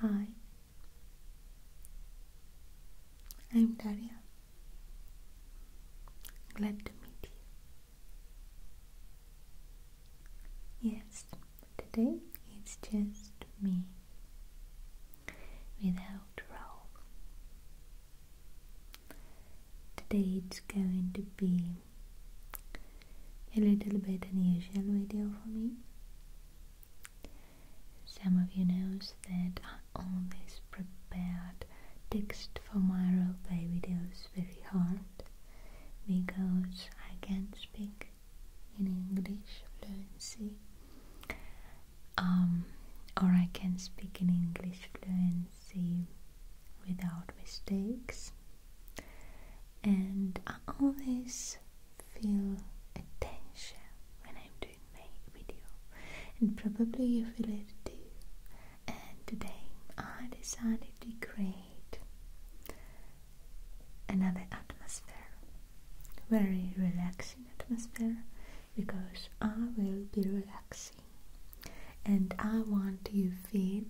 Hi, I'm Daria. Glad to meet you. Yes, today it's just me without Raoul. Today it's going to be a little bit unusual video for me. Some of you knows that I always prepared text for my roleplay videos very hard because I can't speak in English fluency um, or I can not speak in English fluency without mistakes and I always feel tension when I'm doing my video and probably you feel it too and today I decided to create another atmosphere very relaxing atmosphere because I will be relaxing and I want you feel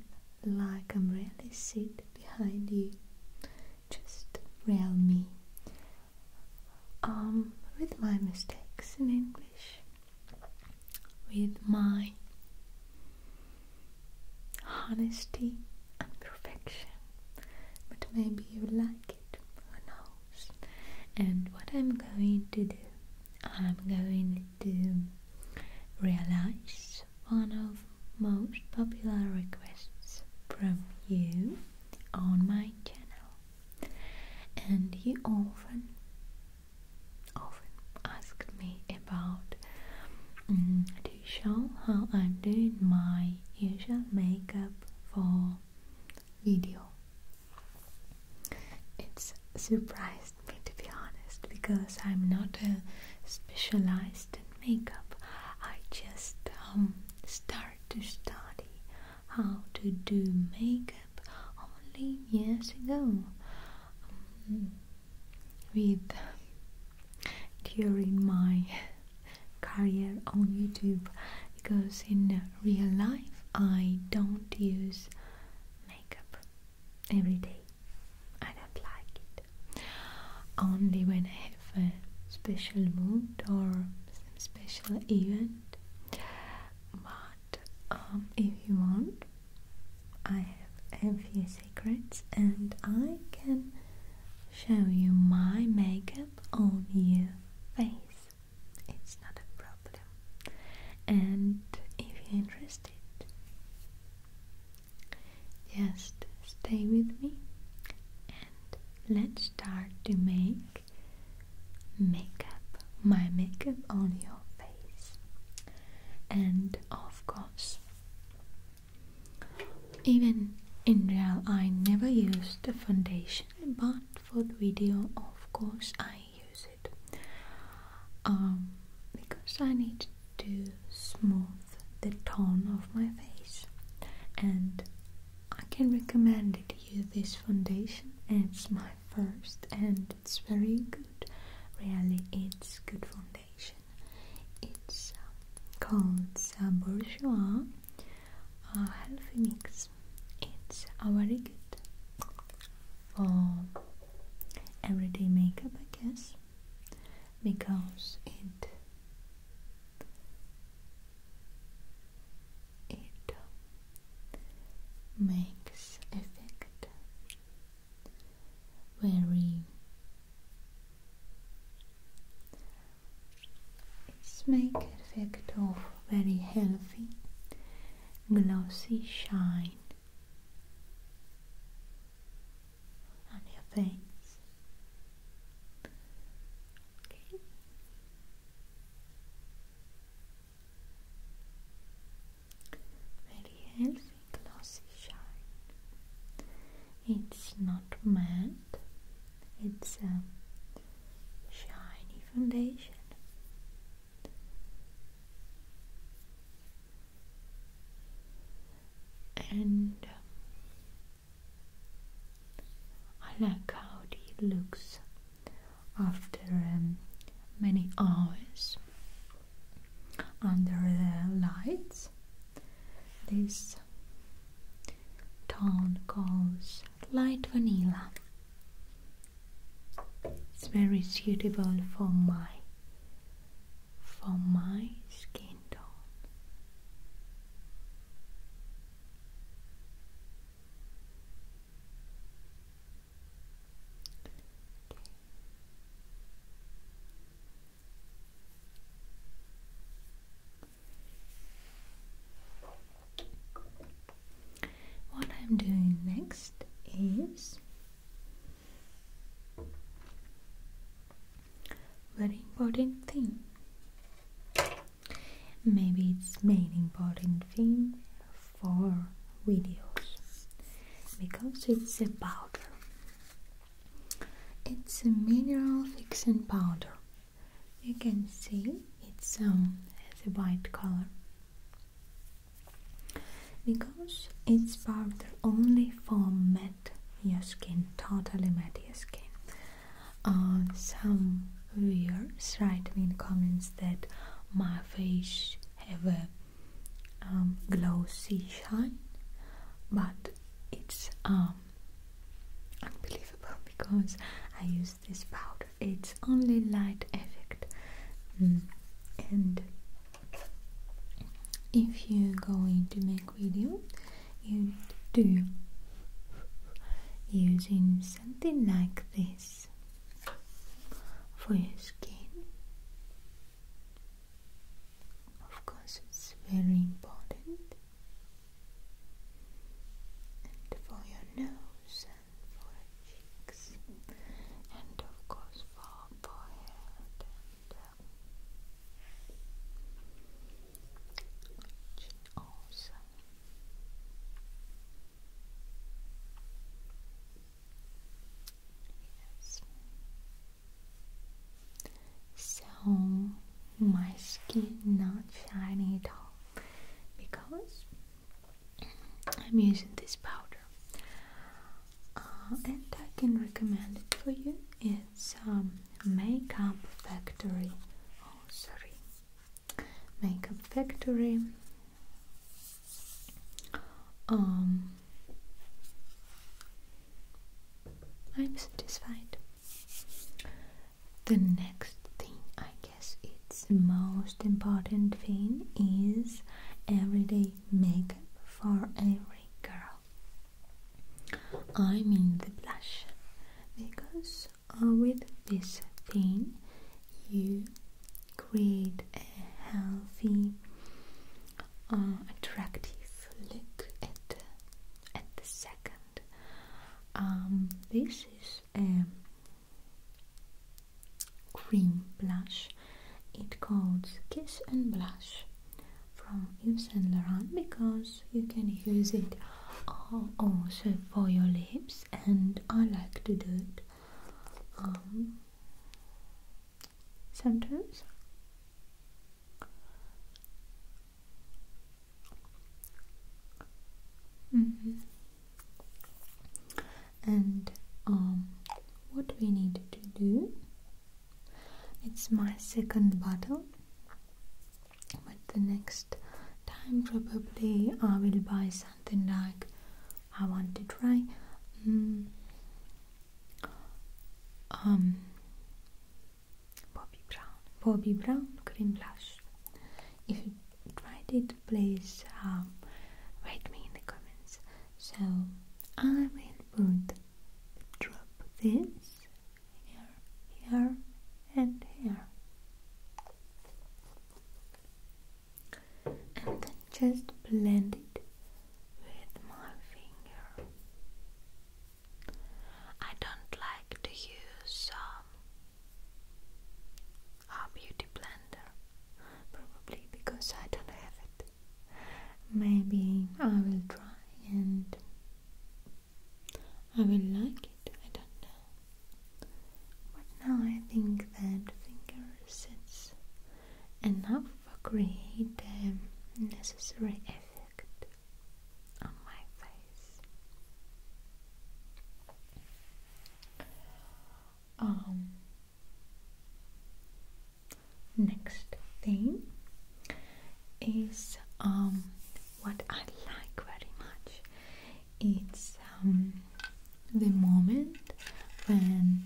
like I'm really sit behind you just real me. Um, with my mistakes in English, with my honesty and perfection. But maybe you like it, who knows? And what I'm going to do, I'm going to realize one of most popular requests from you on my channel and you often often ask me about to mm, show how I'm doing my usual makeup for video it's surprised me to be honest because I'm not a specialized in makeup I just um, start to study how to do makeup only years ago um, with during my career on YouTube because in real life I don't use makeup every day. I don't like it. Only when I have a special mood or some special event. But um, if you want, I have a few secrets and I can show you my makeup on your face. It's not a problem. And if you're interested, just stay with me and let's start to make makeup, my makeup on your face. And of course, even in real I never use the foundation, but for the video, of course, I use it. Um, because I need to smooth the tone of my face and I can recommend it you this foundation it's my first and it's very good really it's good foundation it's uh, called uh, bourgeois uh, healthy mix it's a very good for everyday makeup I guess because it it makes effect very it's make effect of very healthy glossy shine on your face very healthy glossy shine. It's not matte. It's a shiny foundation. And um, I like how it looks after um, many hours under the lights. This tone calls light vanilla. It's very suitable for my for my skin. What I'm doing next is very important thing. Maybe it's main important thing for videos because it's a powder. It's a mineral fixing powder. You can see it's um, has white color because it's powder only for matte your skin, totally matte your skin. Uh, some viewers write me in comments that my face have a um, glossy shine but it's um, unbelievable because I use this powder it's only light effect mm. and if you are going to make video you do using something like this for your skin. Of course, it's very important, and for your nose and for your cheeks, and of course for forehead and. Uh, so my skin not shiny at all because I'm using this powder, uh, and I can recommend it for you some makeup factory. Oh, sorry, makeup factory. Um, I'm satisfied. The next thing, I guess, it's the most important thing is everyday makeup for every girl. I am in the blush because uh, with this thing you create a healthy uh, attractive look at the, second um, this is a cream blush it calls kiss and blush from Yves Saint Laurent because you can use it also for your lips and I like to do it um, sometimes mm-hmm. and um, what we need to do it's my second bottle but the next time probably I will buy something like I want to try mm. um Bobbi Brown Bobby Brown cream blush if you tried it please um, write me in the comments so I will put drop this here, here, and here. And then just blend it with my finger. I don't like to use um, beauty blender, probably because I don't have it. Maybe I will try and I will like it, I don't know. But now I think that finger sets enough for create the necessary effect on my face. Um next thing is um what I like very much. It's um, the moment when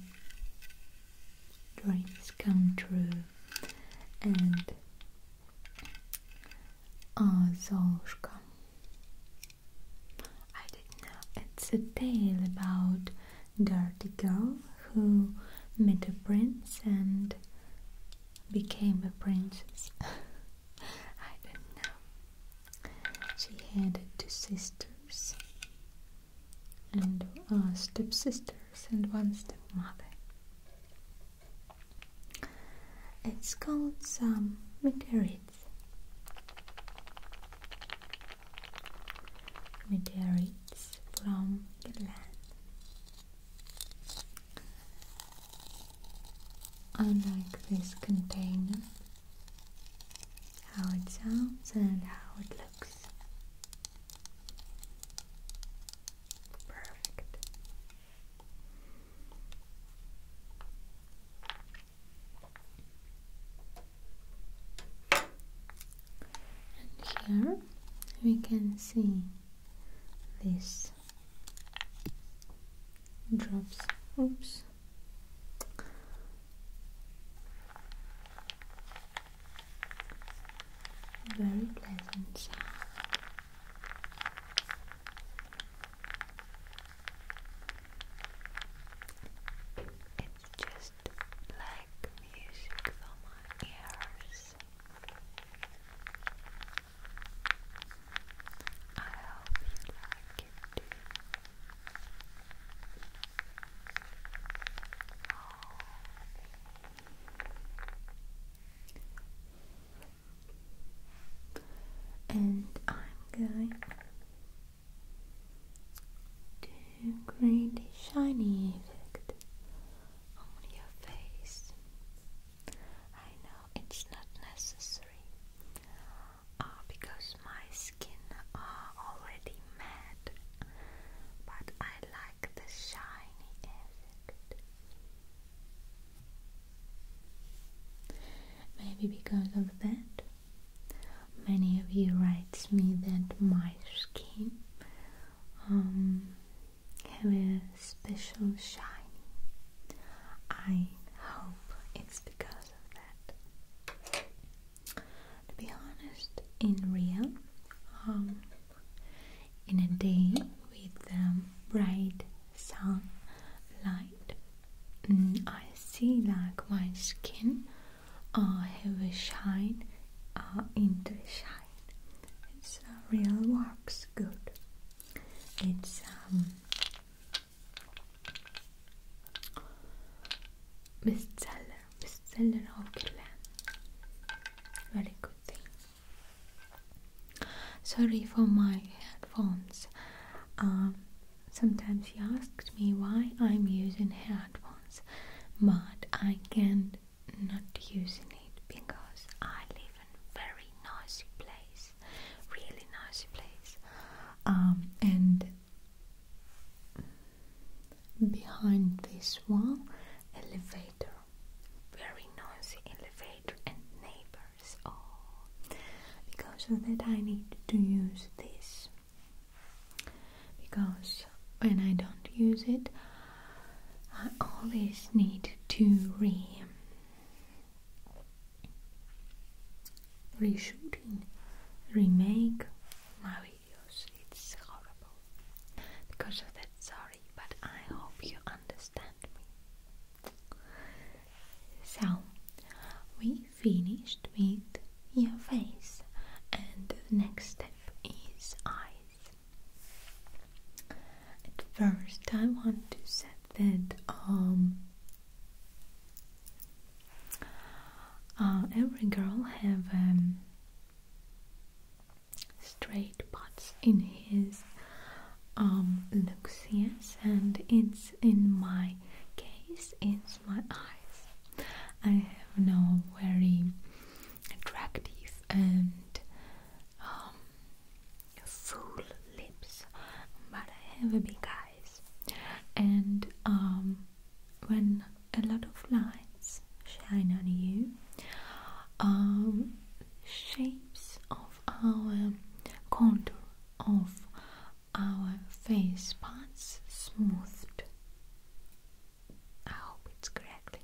dreams come true and oh, Zolushka. I didn't know. It's a tale about dirty girl who met a prince and became a princess. I don't know. She had two sisters and two stepsisters and one stepmother. It's called some meteorites. Meteorites from the land. I like this container, how it sounds and how it looks. Perfect. And here we can see this drops. Oops. Very pleasant sound. It's just like music for my ears. I hope you like it too. And I'm going to create a shiny effect on your face. I know it's not necessary uh, because my skin are uh, already matte, but I like the shiny Maybe because of that, many of you writes me that my skin um, have a special shine. I hope it's because of that. To be honest, in real, um, in a day with um, bright sun light, mm, I see like my skin uh, have a shine uh, into shine. It's uh, real works good. It's um, bestseller, bestseller Hokeland. Very good thing. Sorry for my headphones. Um, sometimes he asks me why I'm using headphones, but I can't not using it because I live even very noisy place, really nice place. Um, and behind this one, elevator, very noisy elevator, and neighbors. Oh, because of that, I need to use this because when I don't use it, I always need to re reshooting, remake my videos. It's horrible because of that. Sorry, but I hope you understand me. So, we finished with your face, and the next step is eyes. At first, I want to say that um, uh, every girl have um, straight spots in his um, and it's in my case, it's my eyes. I have no very attractive and um, full lips, but I have big eyes. And um, when a lot of lights shine on you, um, shapes of our contour of our face parts smoothed. I hope it's correctly.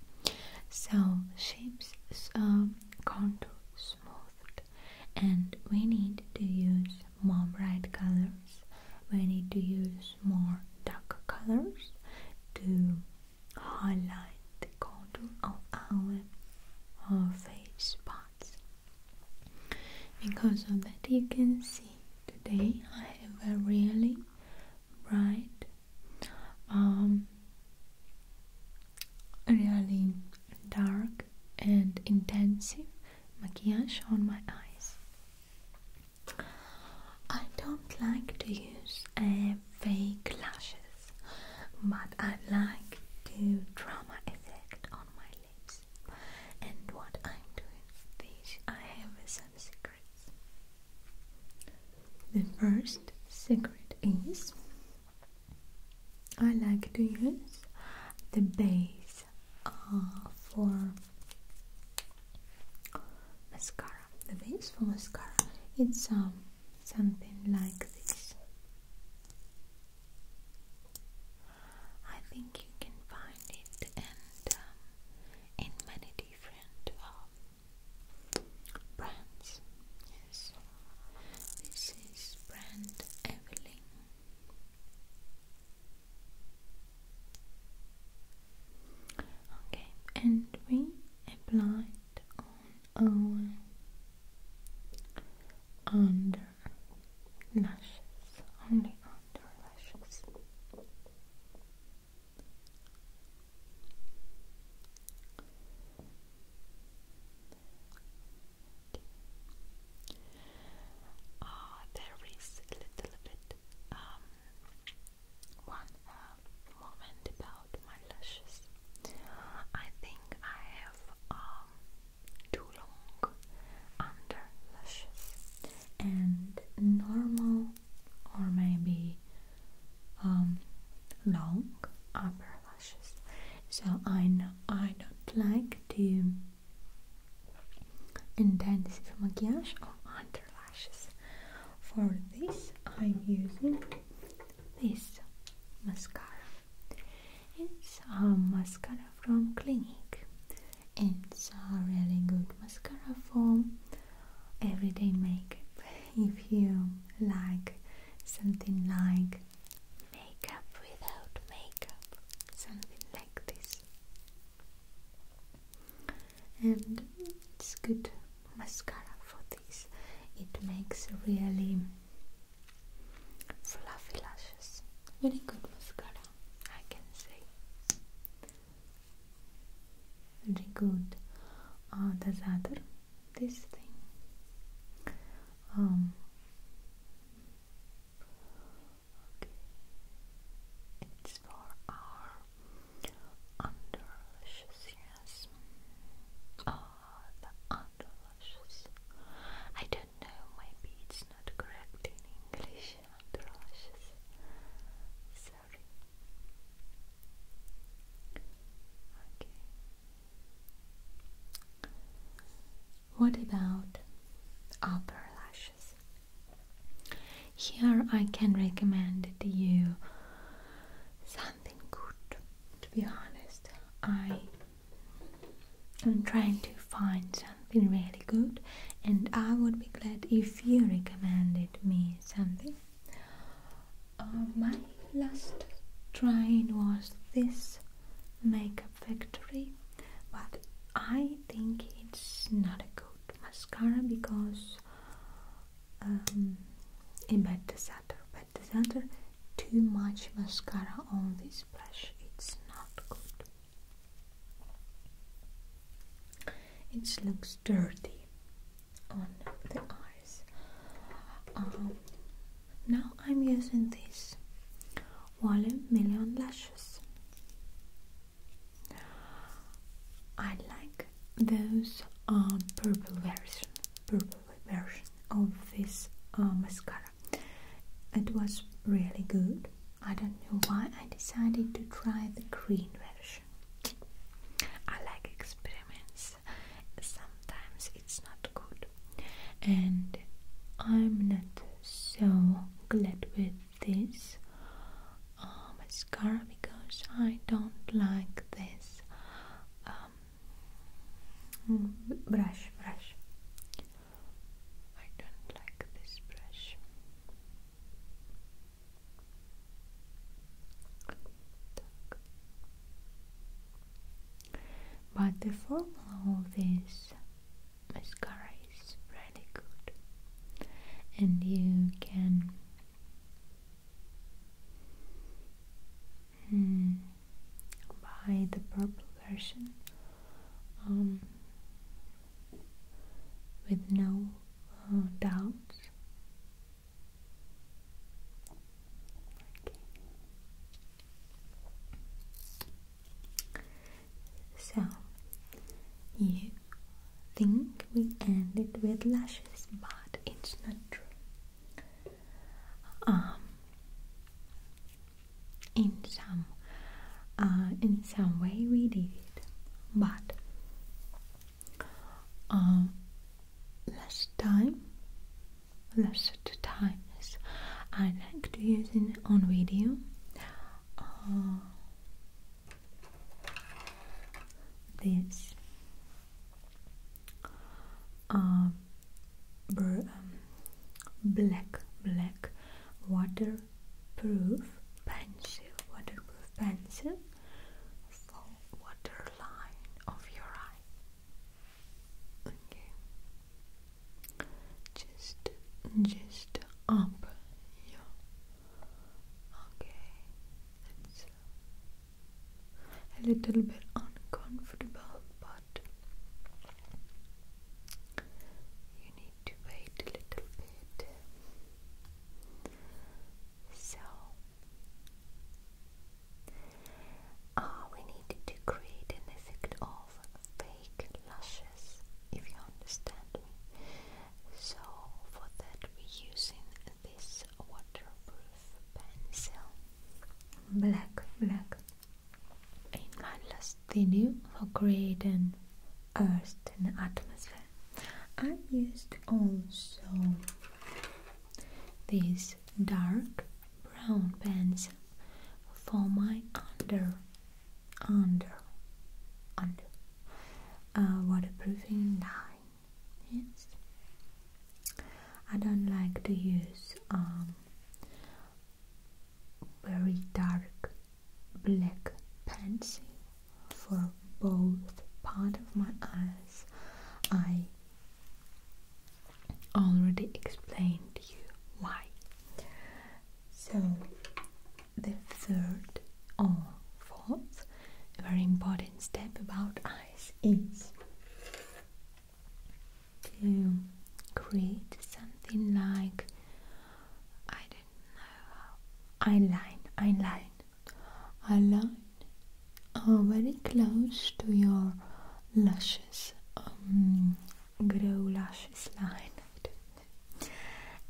So shapes um, contours smoothed and we need to use more bright colors we need to use more dark colors to highlight the contour of our, face spots. because of that you can see today I have a really bright um, really dark and intensive maquillage on my eyes. I don't like to use uh, fake lashes, but I like to drama effect on my lips. And what I'm doing this, I have some secrets. The first secret is I like to use the base uh, for mascara. The base for mascara. It's um, something like this. I think you can find it and um, in many different uh, brands. Yes. This is brand Evelyn. Okay, and we applied on our under lashes, only under lashes. Okay. Uh, there is a little bit um, one uh, moment about my lashes. I think I have um, too long under lashes and normal or maybe um, long upper eyelashes. So I I don't like to intensive maquillage on under lashes. For this, I'm using this mascara. It's a mascara from Clinique. It's a really good mascara for everyday makeup. if you like something like makeup without makeup, something like this. And it's good mascara for this, it makes really fluffy lashes. Very good mascara, I can say. Very good. Oh, the other this thing. Um, okay. It's for our underlushes, yes. Oh, the underlushes. I don't know, maybe it's not correct in English, underlushes. Sorry. Okay. What about upper lashes? Here I can recommend to you something good. To be honest, I am trying to find something really good, and I would be glad if you recommended me something my last trying was this makeup factory, but I think it's not a good mascara because um, bad disaster, bad disaster, too much mascara on this brush, it's not good. It looks dirty on the eyes. Um, now I'm using this Volume Million Lashes. I like those uh, purple version, purple version of this uh, mascara. It was really good. I don't know why I decided to try the green version. I like experiments sometimes it's not good and I'm not so glad with this um, mascara because I don't like this um, brush brush I don't like this brush but the formula of this mascara is really good, and you can hmm, buy the purple version um, with no uh, doubts. So, you think we ended with lashes, but it's not true. Um, in some, uh, in some way we did, but um, last time lesser times. I like to use it on video. Uh, this uh, um, black black waterproof pencil waterproof pencil for waterline of your eye Okay. Just just up. Yeah. Okay. It's a little bit uncomfortable, but you need to wait a little bit. So Ah, we need to create an effect of fake lashes, if you understand me. So for that we're using this waterproof pencil. Black, black. In my last video for creating earth and atmosphere, I used also this dark brown pencil for my under under under uh, waterproofing line. Yes, I don't like to use um, very dark black pencil for both part of my eyes. I already explained to you why. So the third or fourth very important step about eyes is to create something like I don't know a line, a line, are very close to your lashes, um, grow lashes line,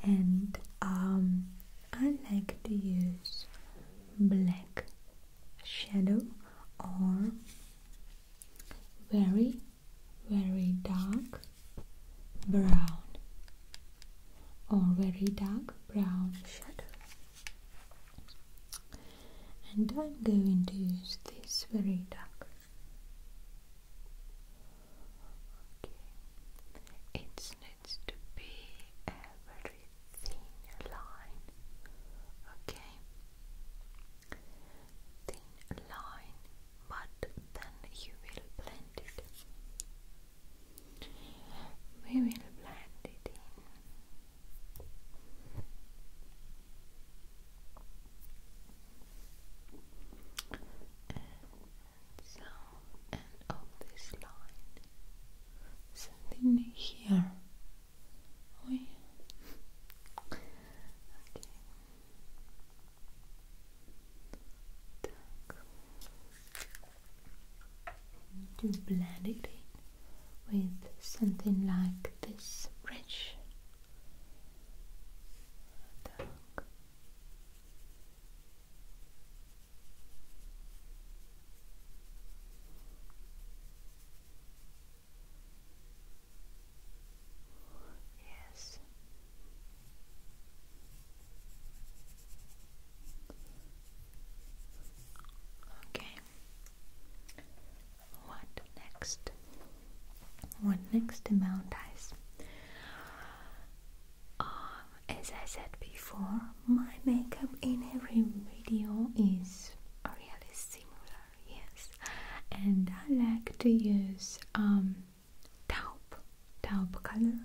And um, I like to use black shadow or very, very dark brown or very dark brown shadow and I'm going to use this very dark okay it needs to be a very thin line okay thin line but then you will blend it we will blend it in so, and of this line, something here. Oh okay. To blend it in with something like this bridge. Yes. Okay what next? What next amount is? Um, as I said before, my makeup in every video is really similar, yes. And I like to use um, taupe, taupe color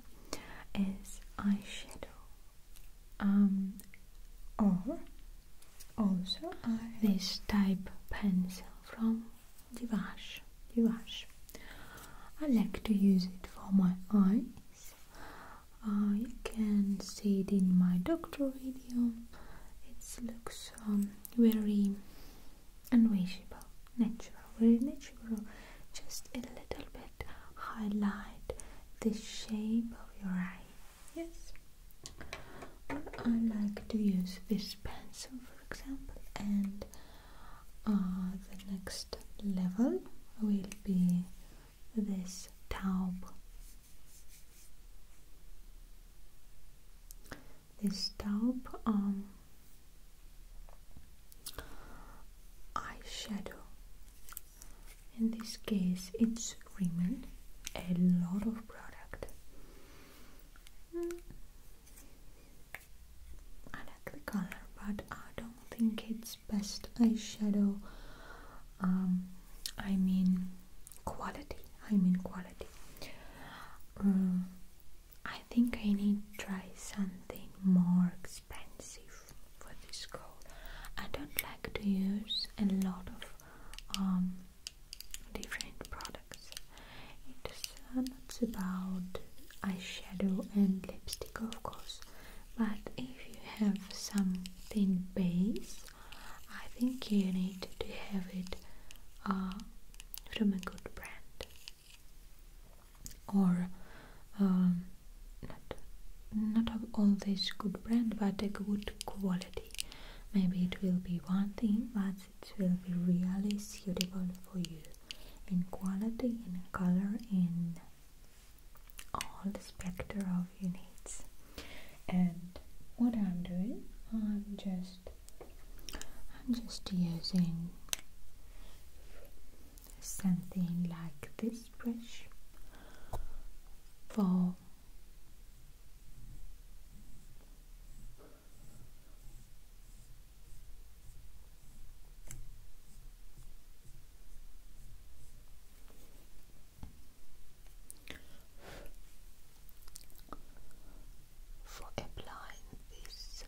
as eyeshadow, um, or also, uh, this type pencil from Divash. Divash. I like to use it for my eyes. Uh, you can see it in my doctor video. It looks um, very unwashable, natural, very natural. Just a little bit highlight the shape of your eyes yes I like to use this pencil for example and uh, the next level will be this taub this taub um, eyeshadow in this case it's Rimmel a lot of product mm. I like the color but I don't think it's best eyeshadow um, I mean quality I mean quality um, I think I need to try something more expensive for this goal I don't like to use a lot of um, different products. It's uh, not about eyeshadow and lipstick, of course, but if you have something base, I think you need to have it uh, from a good brand or um, not not all this good brand, but a good quality Maybe it will be one thing, but it will be really suitable for you in quality, in color, in all the spectrum of your needs. And what I'm doing, I'm just I'm just using something like this brush for for applying this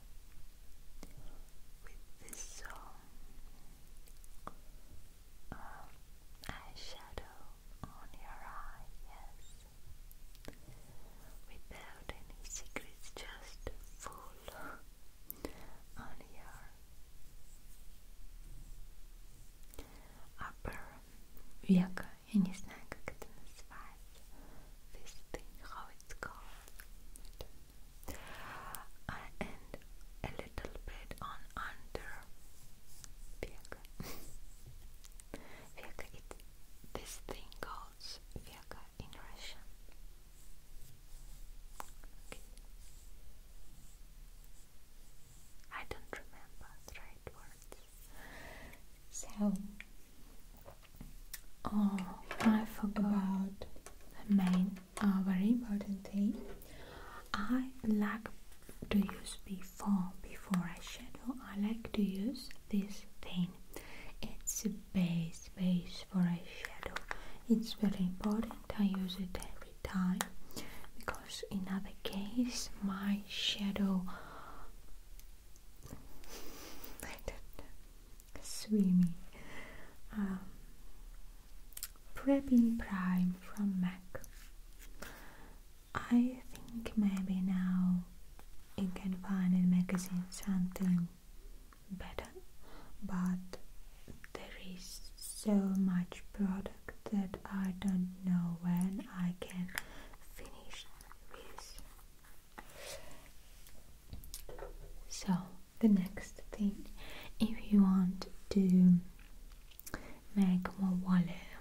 with this um, uh, eyeshadow on your eye, yes without any secrets, just full on your upper века, я не знаю, как how it's called, and a little bit on under века. Vega this thing calls Vega in Russian. I don't remember the right words. So Oh I forgot the main uh, very important thing. I lack to use before before shadow, I like to use this thing it's a base base for shadow. it's very important I use it every time because in other case my shadow I do swimming um, prepping prime from MAC I think maybe now you can find in magazine something better, but there is so much product that I don't know when I can finish this. So the next thing, if you want to make more volume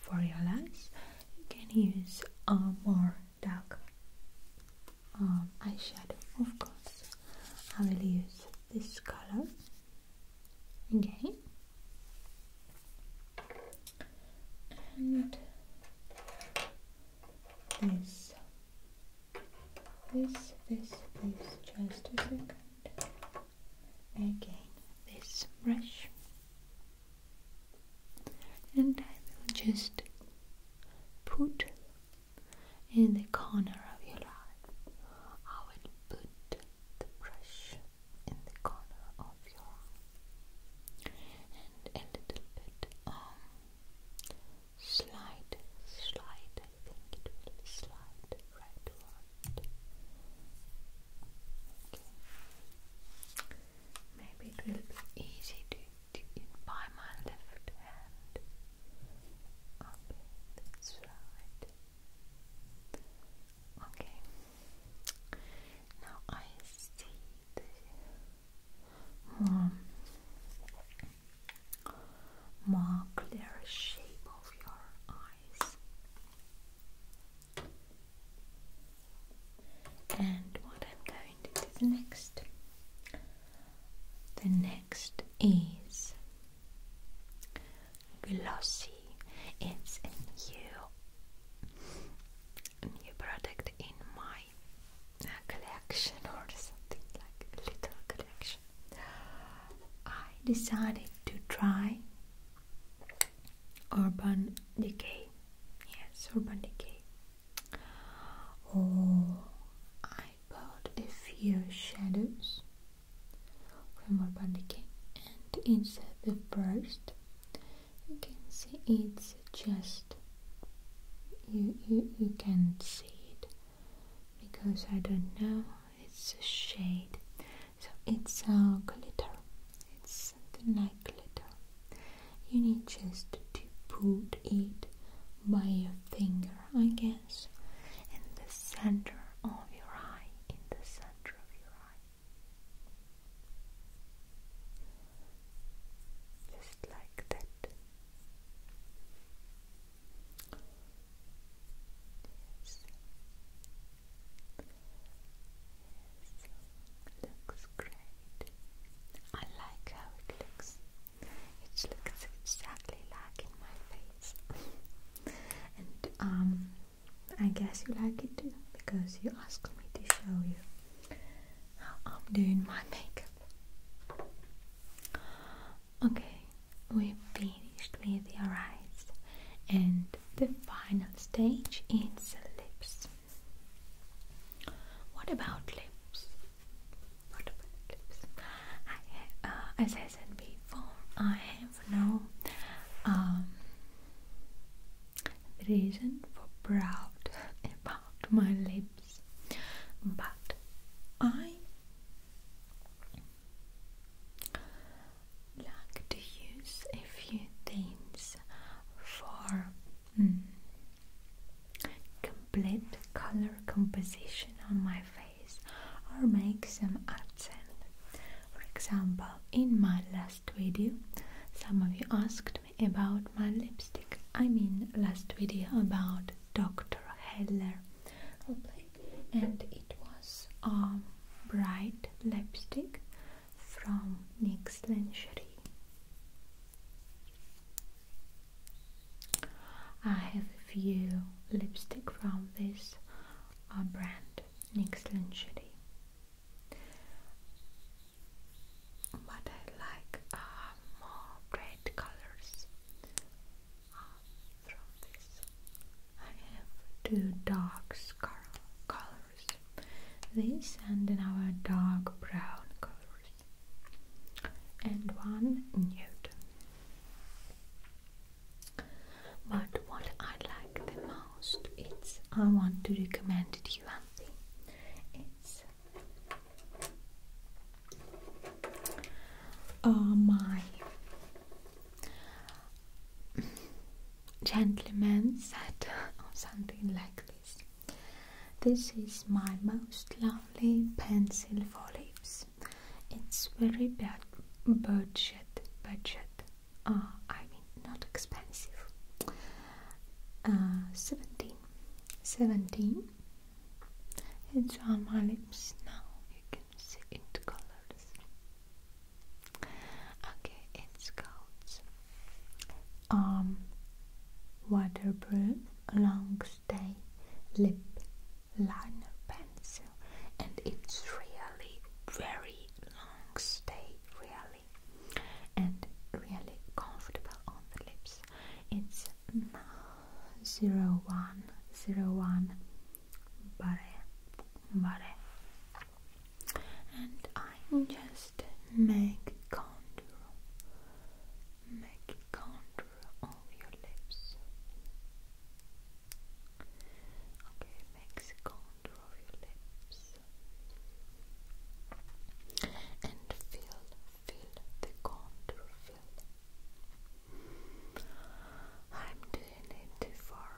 for your lights you can use uh, more dark um, eyeshadow of course I will use this color again and this this this this just a second again this brush and I will just put in the corner of your eye. I will put the brush in the corner of your eye and a little bit um, slide, slide. I think it will slide right soft. Okay. Maybe it will be easy to do it my left hand. Okay, that's right. Okay. Now I see the um, more, more clear shape of your eyes. And what I'm going to do next, the next is glossy. It's a new, new product in my uh, collection or something like little collection. I decided to try urban decay. Yes, urban decay. Oh, I bought a few shadows from urban decay, and it's the first, you can see it's just you you you can see it because I don't know it's a shade so it's a uh, glitter. It's something like glitter. You need just to put it by your finger, I guess, in the center of your eye. In the center of your eye. Just like that. Yes, looks great. I like how it looks. It looks exactly like in my face. and um, I guess you like it too because you asked me to show you how I'm doing my makeup. Okay, we finished with your eyes and the final stage is lips. What about lips? What about lips? Uh, as I said before, I have no um, reason for proud about my lips, but I like to use a few things for hmm, complete color composition on my face or make some accent. For example, in my last video, some of you asked me about my lipstick. I mean, last video about Dr. Heller, and it was a um, bright lipstick from Nick's Lingerie. I have a few lipstick from this uh, brand, Nick's Lingerie. But I like uh, more bright colors uh, from this. I have two dark colors colors this and our dark brown colors and one nude but what I like the most its I want to recommend to you one it's oh my Gentlemen, said or something like this. This is my most lovely pencil for lips. It's very bad budget, budget. Ah, I mean, not expensive. Ah, 17. 17. It's on my lips now. You can see it colors. Okay, it's called Arm Waterproof Long Stay Lip Liner Pencil, and it's really very long stay, really, and really comfortable on the lips. It's zero one zero one, bare, bare and I just make contour, make contour of your lips. Okay, makes contour of your lips and feel, feel the contour, feel. I'm doing it for.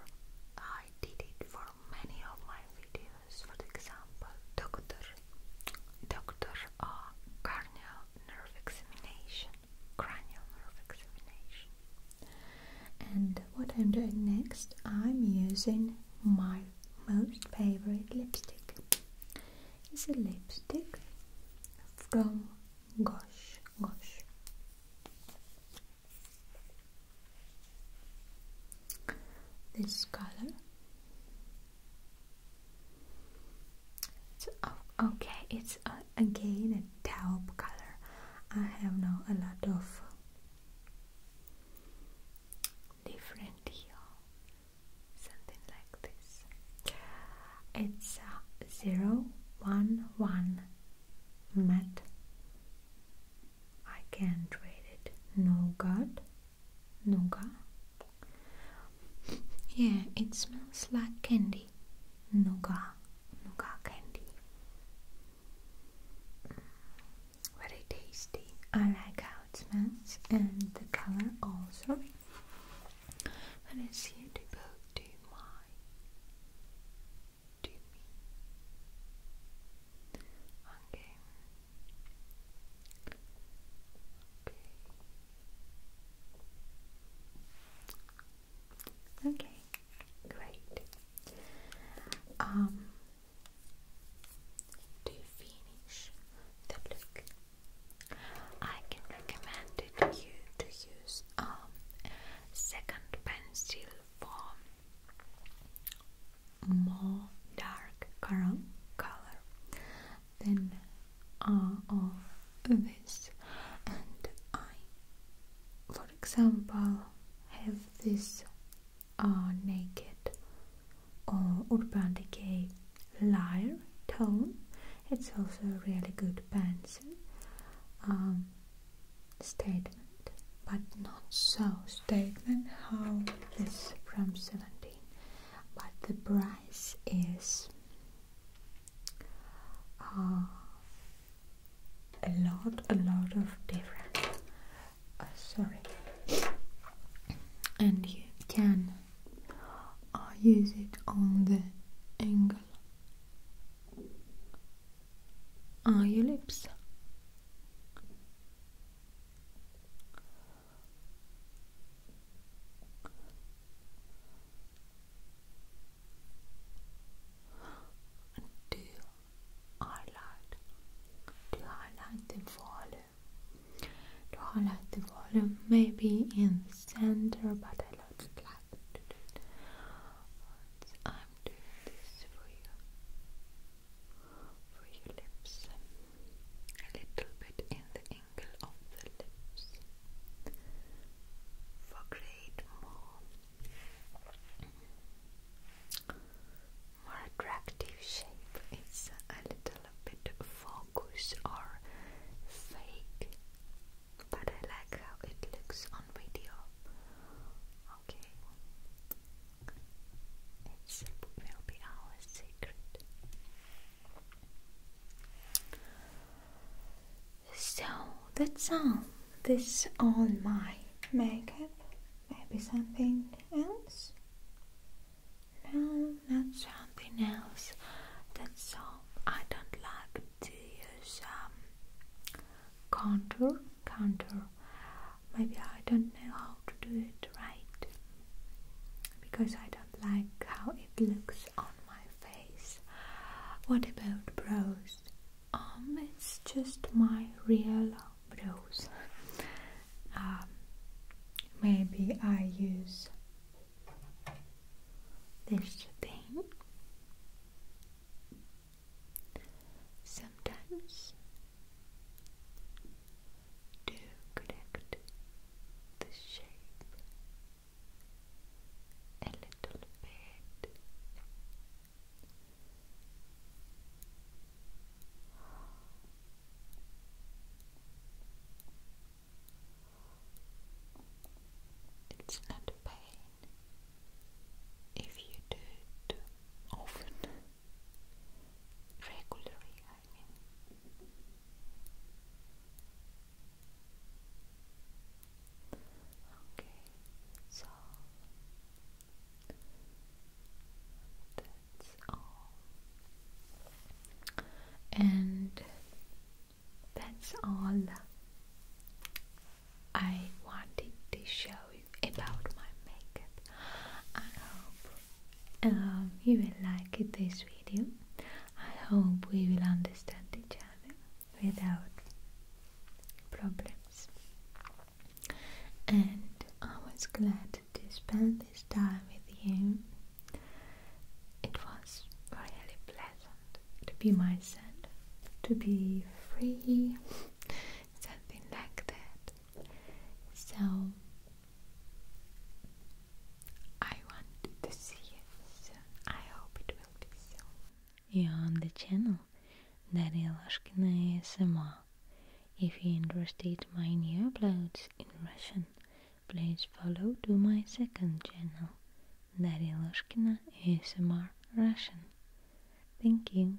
I did it for many of my videos, for example, doctor, doctor uh, cranial nerve examination, cranial nerve examination. And what I'm doing next, I'm using my most favorite lipstick. It's a lipstick from Gosh Gosh this color. So, okay, it's uh, again a taupe color. I have now a lot of different here, something like this. It's uh, zero one one matte I can't read it. No God? Nougat? Yeah, it smells like candy. Nougat. Nougat candy. Mm, very tasty. I like how it smells and the color also. And it's here to go to my to me. Okay. Okay. Okay. Great. Um to finish the look, I can recommend you to use um second pencil for more dark color than uh, all this and I for example have this uh, naked or urban decay liar tone it's also a really good pencil um, statement, but not so statement how this from 17, but the price is uh, a lot, a lot of different. Uh, sorry, and you can uh, use it on the angle on your lips to highlight to highlight the volume to highlight the volume maybe in center but I don't like to do it I'm doing this for you for your lips, a little bit in the angle of the lips for create more, more attractive shape. It's a little bit focus or fake, but I like how it looks on video. Okay, it will be our secret. So that's all. This all my makeup. Maybe something else? No, not something else. That's all. I don't like to use um, contour counter. Maybe I don't know how to do it right because I don't like how it looks on my face. What about brows? Um, it's just my real brows. Um, maybe I use this thing Sometimes to correct the shape a little bit. It's not pain if you do too often regularly, I mean. Okay, so that's all. And that's all I wanted to show about my makeup. I hope um, you will like this video. I hope we will understand each other without problems. And I was glad to spend this time with you. It was really pleasant to be myself, to be free, something like that. So I want to see it soon. I hope it will be soon. You're on the channel Daria Lashkina ASMR. If you're interested in my new uploads in Russian, please follow to my second channel Daria Lashkina ASMR Russian. Thank you.